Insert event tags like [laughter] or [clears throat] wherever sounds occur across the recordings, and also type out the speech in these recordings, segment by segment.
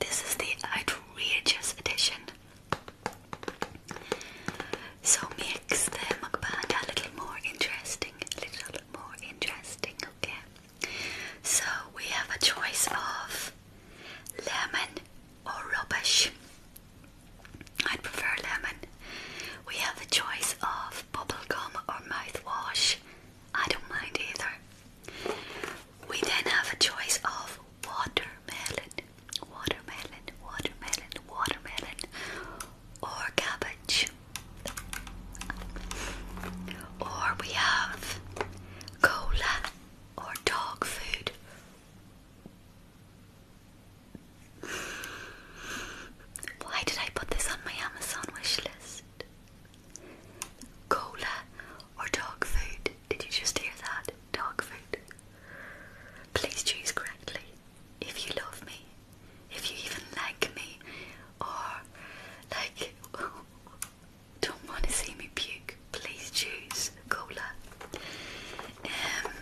This is the outrageous edition. So makes the mukbang a little more interesting. A little more interesting, okay? So we have a choice of lemon or rubbish. I'd prefer lemon. We have the choice of bubblegum or mouthwash. I don't mind either. We then have a choice of watermelon, watermelon, watermelon, watermelon, or cabbage. Or we have cola or dog food. Why did I put this on my Amazon wish list? Cola or dog food? Did you just hear that? Dog food. Please choose correctly. If you love me, if you even like me, or like [laughs] don't want to see me puke, please choose cola. Um,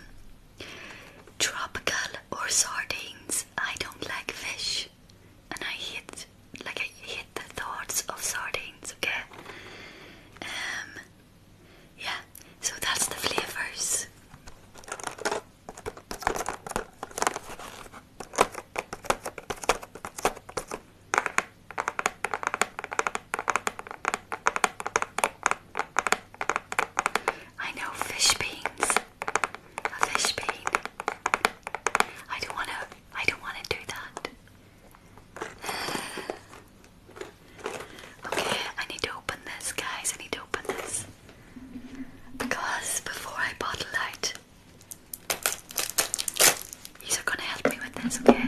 tropical or sardines? I don't like fish, and I hit like I the thoughts of sardines, okay? Um, yeah, so that's the flavors. I know fish beans. A fish bean. I don't wanna I don't wanna do that. Okay, I need to open this, guys. I need to open this. Because before I bottle out, you are gonna help me with this, okay?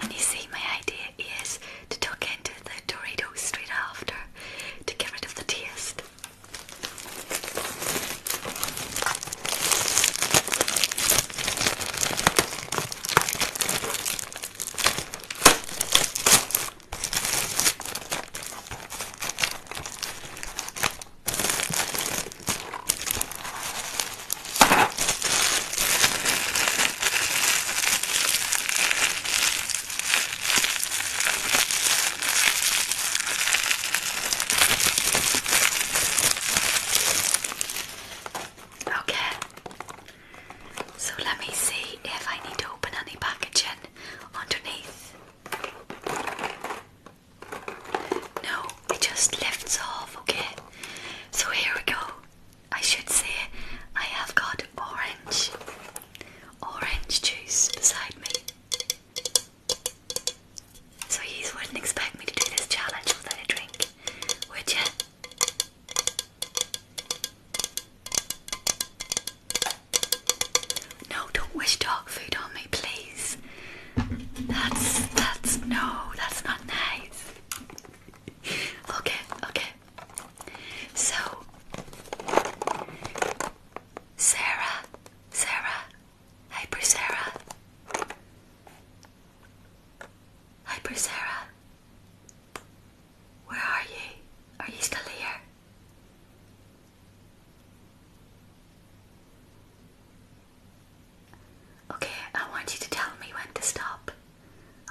And you see, my idea is to tuck into the Doritos straight after to get rid of the taste. Okay, so let me see if I need to open any packaging underneath. No, it just lifts off, okay? So here we go. I should say I have got orange, orange juice beside me. So you wouldn't expect me to do this challenge without a drink, would you? No, don't wish dog food on me, please. That's that's no, that's not nice. Okay, okay. So, Sarah, Sarah, Hyper Sarah, Hyper Sarah, where are you? Are you still here? Okay, I want you to tell me when to stop.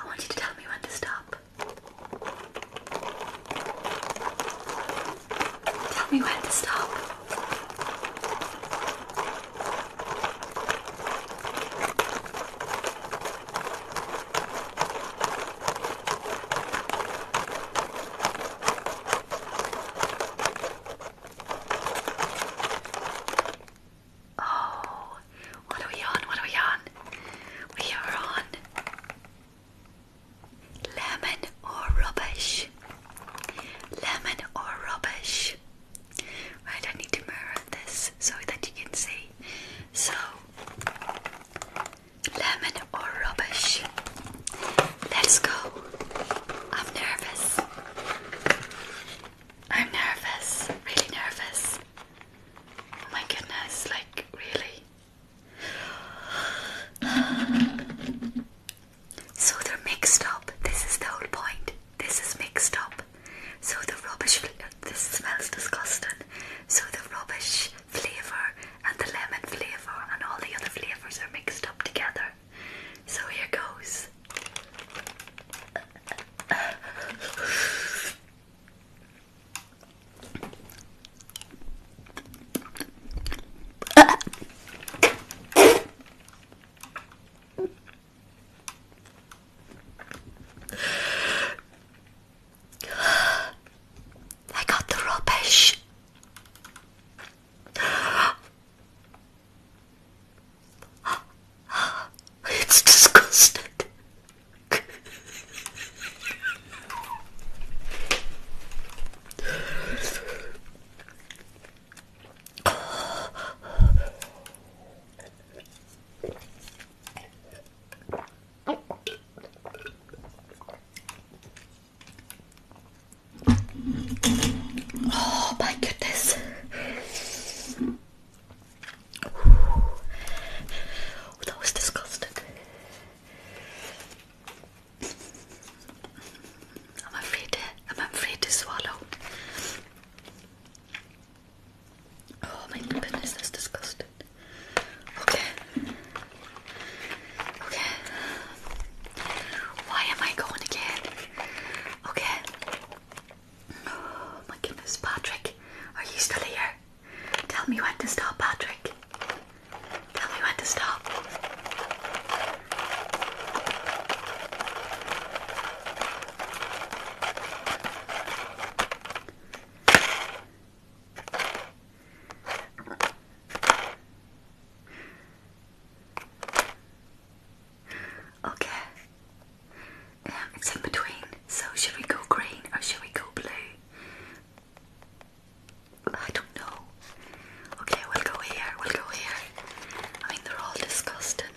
I want you to tell me when to stop. Tell me when to stop. Oh, what are we on? What are we on? We are on Lemon or rubbish? Lemon or rubbish? Right, I need to mirror this so that you can see. So, lemon or rubbish? Let's go. I'm nervous. I'm nervous, really nervous. Oh my goodness, like, really. So they're mixed up. This is the whole point. This is mixed up. So the rubbish. This smells disgusting. So the rubbish flavor and the lemon flavor and all the other flavors are mixed up together. So here goes. I got the rubbish. [gasps] It's disgusting. Oh my goodness. That was disgusting. I'm afraid to, I'm afraid to swallow. Oh my goodness, that's disgusting. Okay. Okay. Why am I going again? Okay. Oh my goodness, Patrick, are you still here? Tell me when to stop, Patrick. Tell me when to stop. Okay. Um, it's in between. So should we go green or should we go blue? I don't know. Okay, we'll go here, we'll go here. I mean, they're all disgusting.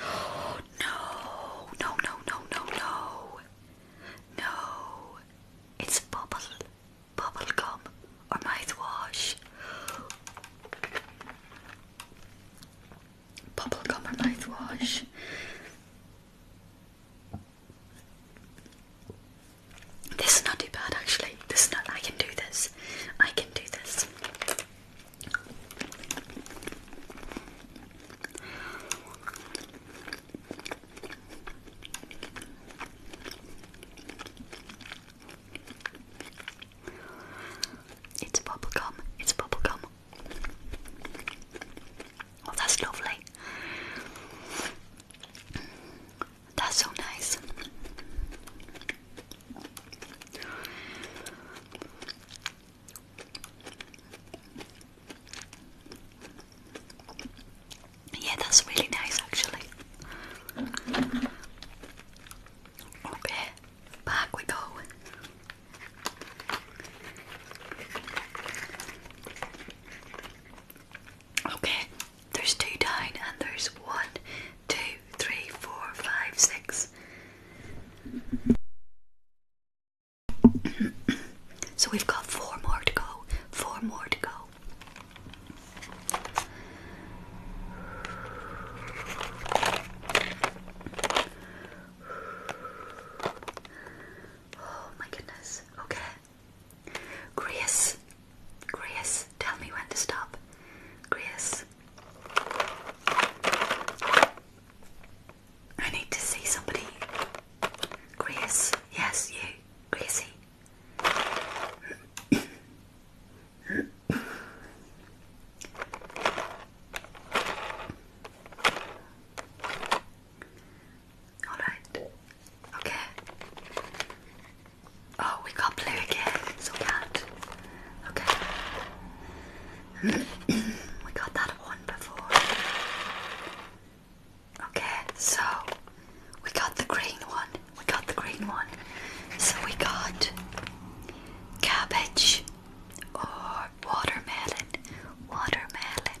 Oh, [gasps] no, no, no, no, no, no. No. It's bubble, bubble gum, or mouthwash. Bubble gum or mouthwash. This is not too bad actually. This is not I can do this. I can do this. It's bubble gum. It's bubble gum. Oh, that's lovely. That's so nice. Yeah, that's really nice actually. Okay, back we go. Okay, there's two down, and there's one, two, three, four, five, six. so we've got four more to go. Four more to go. Oh my goodness. Okay. Grace, Grace, tell me when to stop. Grace, I need to see somebody. Grace, yes, you, Gracie. Alright. Okay. Oh, we can't again. So bad. Okay. [clears throat] we got that one before. Okay, so we got the green one. We got the green one. So we got cabbage or watermelon. Watermelon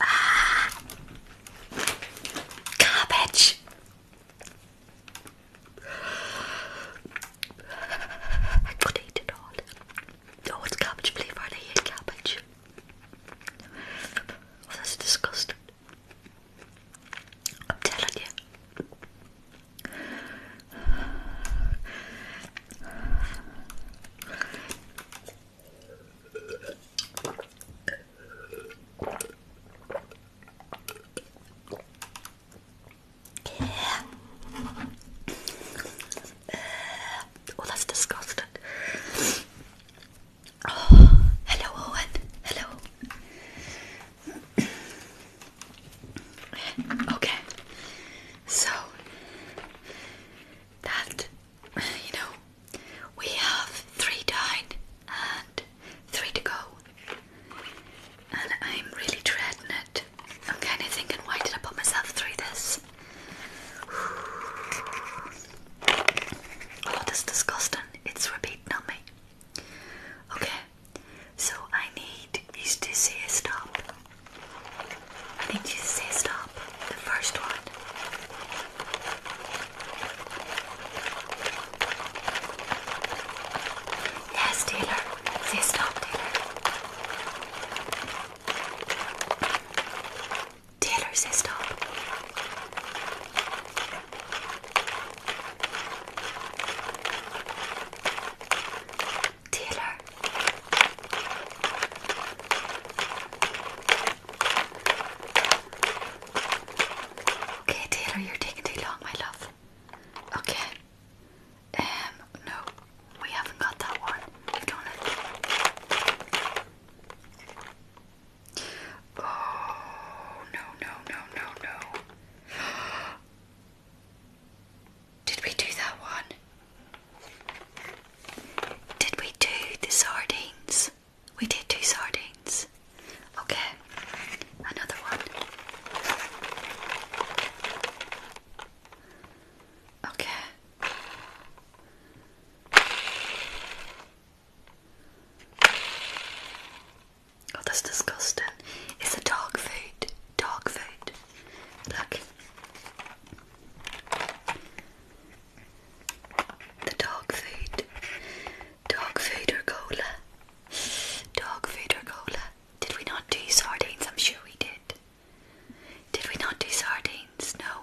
Ah, I could eat it all. Oh, it's cabbage flavour. I hate cabbage. Oh, that's disgusting. I'm telling you. Yeah. oh, that's disgusting. Oh, hello, Owen. Hello. okay. So that you know, we have three dine and three to go, and I'm really dreading it. I'm kind of thinking, why did I put myself through this? [sighs] Oh, that's disgusting it's repeat numbing. Okay, so I need you to say stop. I need you to say stop. The first one. Yes, Taylor. Say stop, Taylor. Taylor, say stop. Taylor. Okay, Taylor, you're taking too long, my love. Okay. Um, no, we haven't got that one. We've done Oh, no, no, no, no, no. Did we do that one? Did we do the sardines? We did do sardines. Okay, another one. Okay. Oh, that's disgusting. It's a dog food. Dog food. Look. The dog food. Dog food or cola. Dog food or cola. Did we not do sardines? I'm sure we did. Did we not do sardines? No.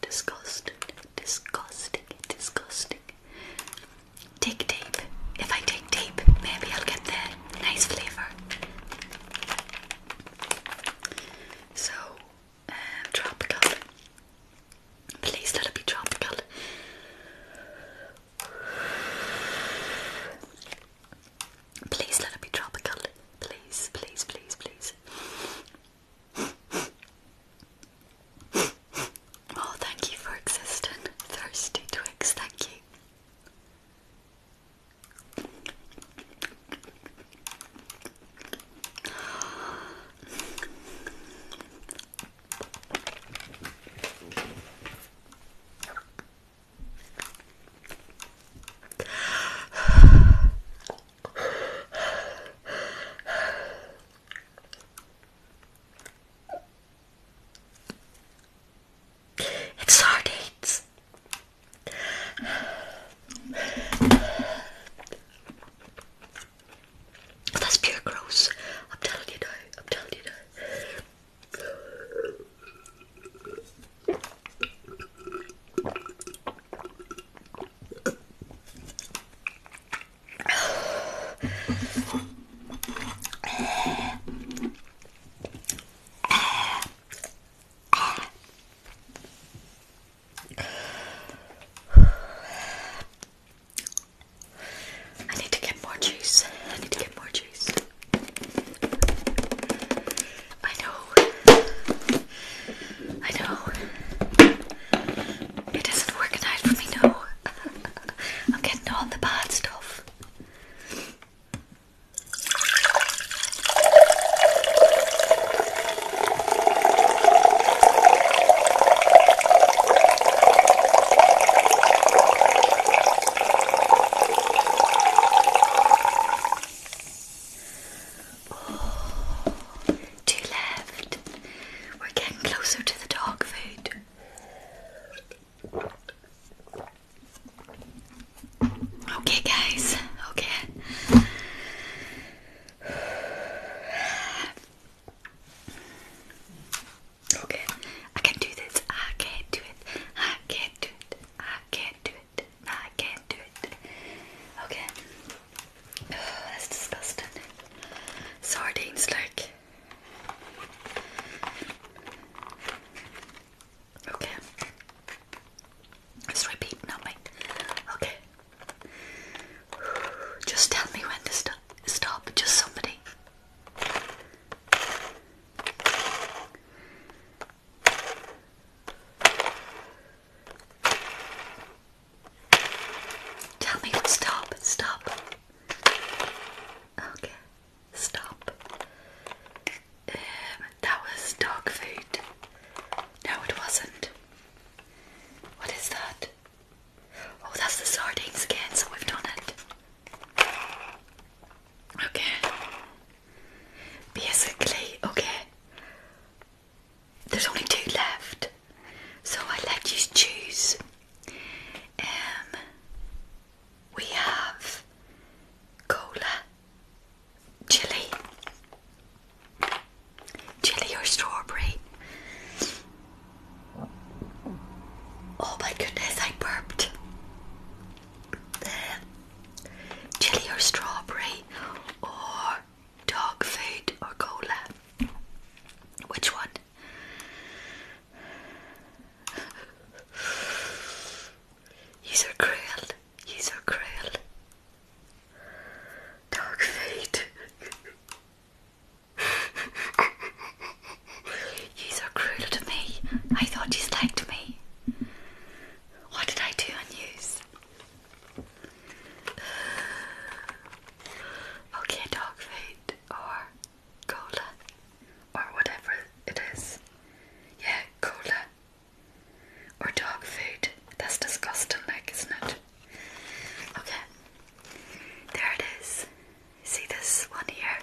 Disgusting, disgusting, disgusting. Take tape. If I take tape, maybe I'll get the nice flavour. So, um, tropical. Please let it be tropical. Please let it be tropical. Please, please, please, please oh, thank you for existing, Thirsty Twigs, thank you. It's sardines. That's pure gross. I'm telling you I'm telling you I need to get more juice. I need to get more juice. I know I know. It isn't organized for me, no. [laughs] I'm getting all the bad stuff. Oh, two left. We're getting closer to the dog food. Okay, guys. Okay. Okay, I can do this. I can't do it. I can't do it. I can't do it. I can't do it. Okay. Oh, that's disgusting. Sardines, like. Okay. Let's repeat now, Okay. Just tell me when to st stop. Just somebody. Tell me stop. Stop. Okay. Stop. Um, that was dog food. No, it wasn't. What is that? Oh, that's the sardines again, so we've done it. Okay. Basically, okay there's only two left, so I let you choose. Um, we have cola, chili, chili or strawberry. Oh my goodness, I burped. Uh, chili or strawberry or Dog fate or cola? Which one? He's are cruel. He's are cruel. Dog fate. These are cruel to me. I thought you liked me. What did I do on yous? okay, dog food or cola or whatever it is. Yeah, cola or dog food. That's disgusting, like, isn't it? Okay, there it is. See this one here?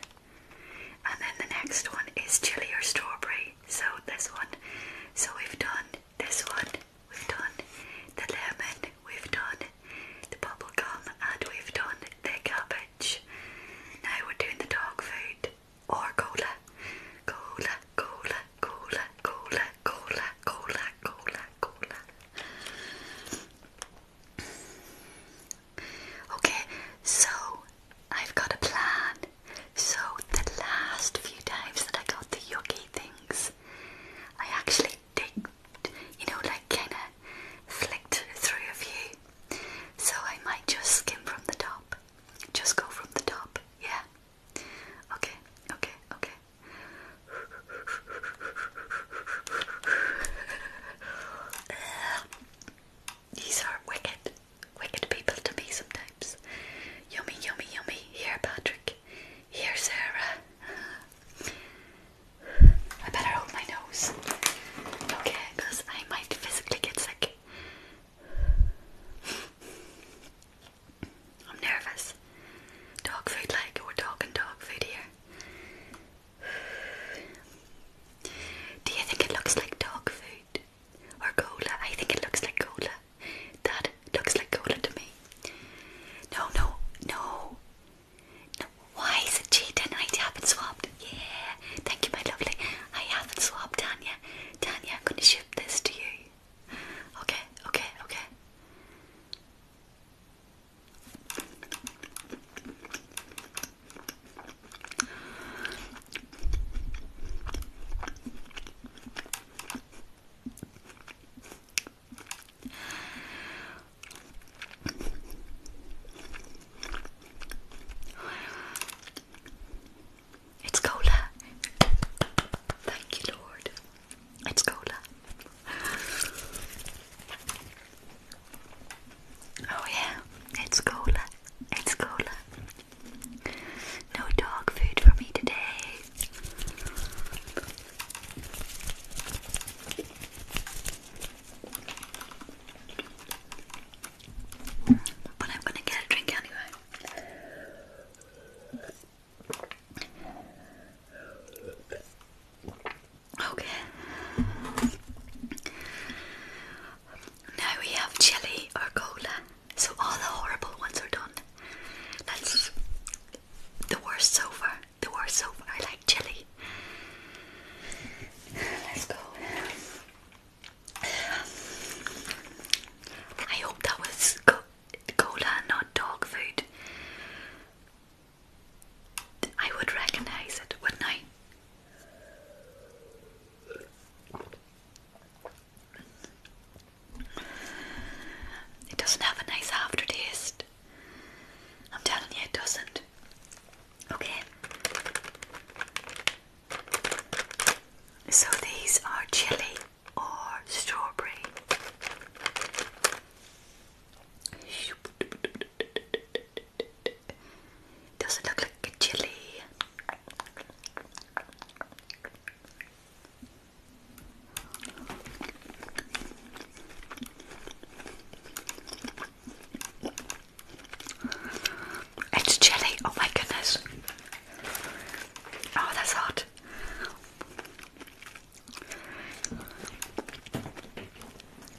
And then the next one is chili or strawberry. So this one. So we've done this one, we've done the lemon, we've done the bubble gum, and we've done the cabbage. Now we're doing the dog food or cola. Cola, cola, cola, cola, cola, cola, cola, cola. Okay, so I've got a plan. So, the last few times that I got the yucky things, I actually did, you know, like kind of flicked through a few. So I might just skim from the top. Just go from the top, yeah. Okay, okay, okay. [laughs] these are wicked, wicked people to me sometimes. Yummy, yummy, yummy. Here, Patrick. Here, Sarah. I better hold my nose. Okay, because I might physically get sick. I'm nervous. Dog food, like we're talking dog food here. Do you think it looks like dog food or cola? I think it looks like cola. That looks like cola to me. No, no, no. why is it cheating? I haven't swapped. Yeah, thank you, my lovely. I haven't swapped, Tanya. Tanya, I'm gonna ship this to you. Okay, okay, okay. It's cola. Thank you, Lord. It's cola. Oh, yeah, it's cola. It's cola. No dog food for me today. But I'm gonna get a drink anyway. Okay. Now we have chili or cola, so all the horrible ones are done. Let's the worst so far. The worst so far. I like chili. Let's go. I hope that was cola, not dog food. I would recognize it, wouldn't I? It doesn't have a nice aftertaste. I'm telling you, it doesn't. Okay. So these are chili or strawberry. Doesn't look like chili. It's jelly, oh my goodness. Oh, that's hot.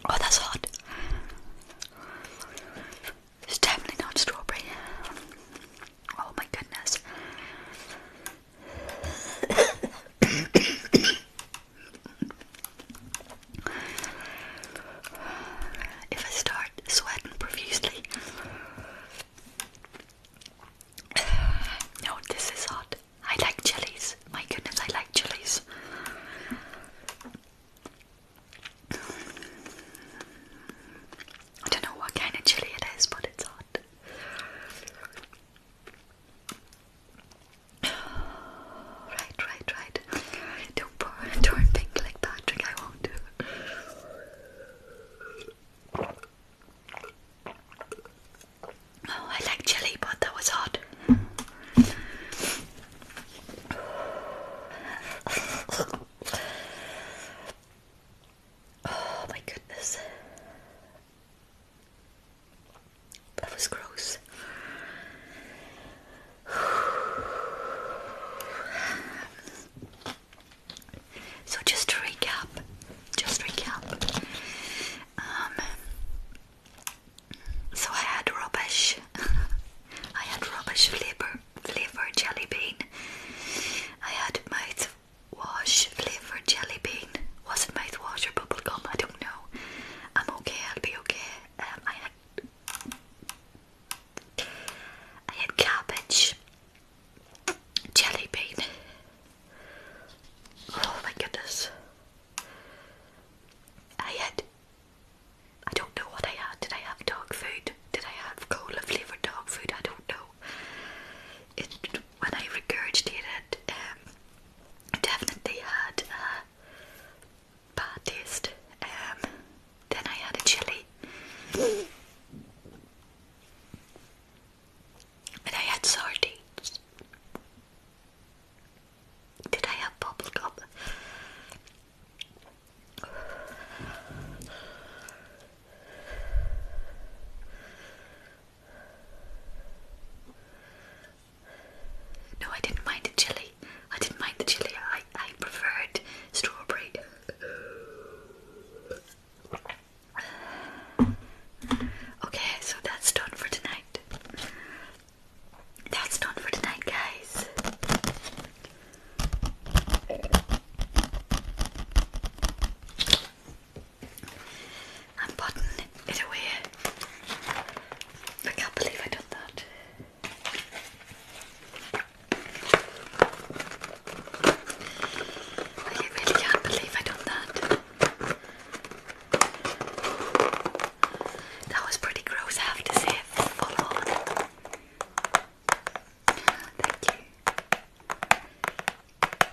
Oh, that's hot. It's definitely not strawberry. Oh my goodness. [coughs] if I start sweating profusely, [sighs] no, this is hot. I like chilies. My goodness, I like chilies. I don't know what kind of chili it is, but it's hot. Right, right, right. Don't pour, [laughs] turn pink like Patrick. I won't do. Oh, I like chili, but that was hot. Oh my goodness. That was gross. So just to recap, just recap. Um, so I had rubbish. [laughs] I had rubbish flavor, flavor jelly bean. I had mouth mouthwash flavour jelly bean. Was it mouthwash or bubblegum? I don't know. I'm okay, I'll be okay. Um, I had I had cabbage, jelly bean. Oh my goodness. I had I don't know what I had. Did I have dog food? Did I have cola flavoured dog food? I don't know it when I regurgitated, um, definitely had a bad um, then I had a chili, and I had sardines. Did I have bubblegum? No, I didn't mind the chili. I didn't mind the chili. I, I preferred strawberry. Okay, so that's done for tonight. That's done for tonight, guys. I'm putting it away. I can't believe I done that. I really can't believe I done that. That was pretty gross, have to say. Full on. Thank you.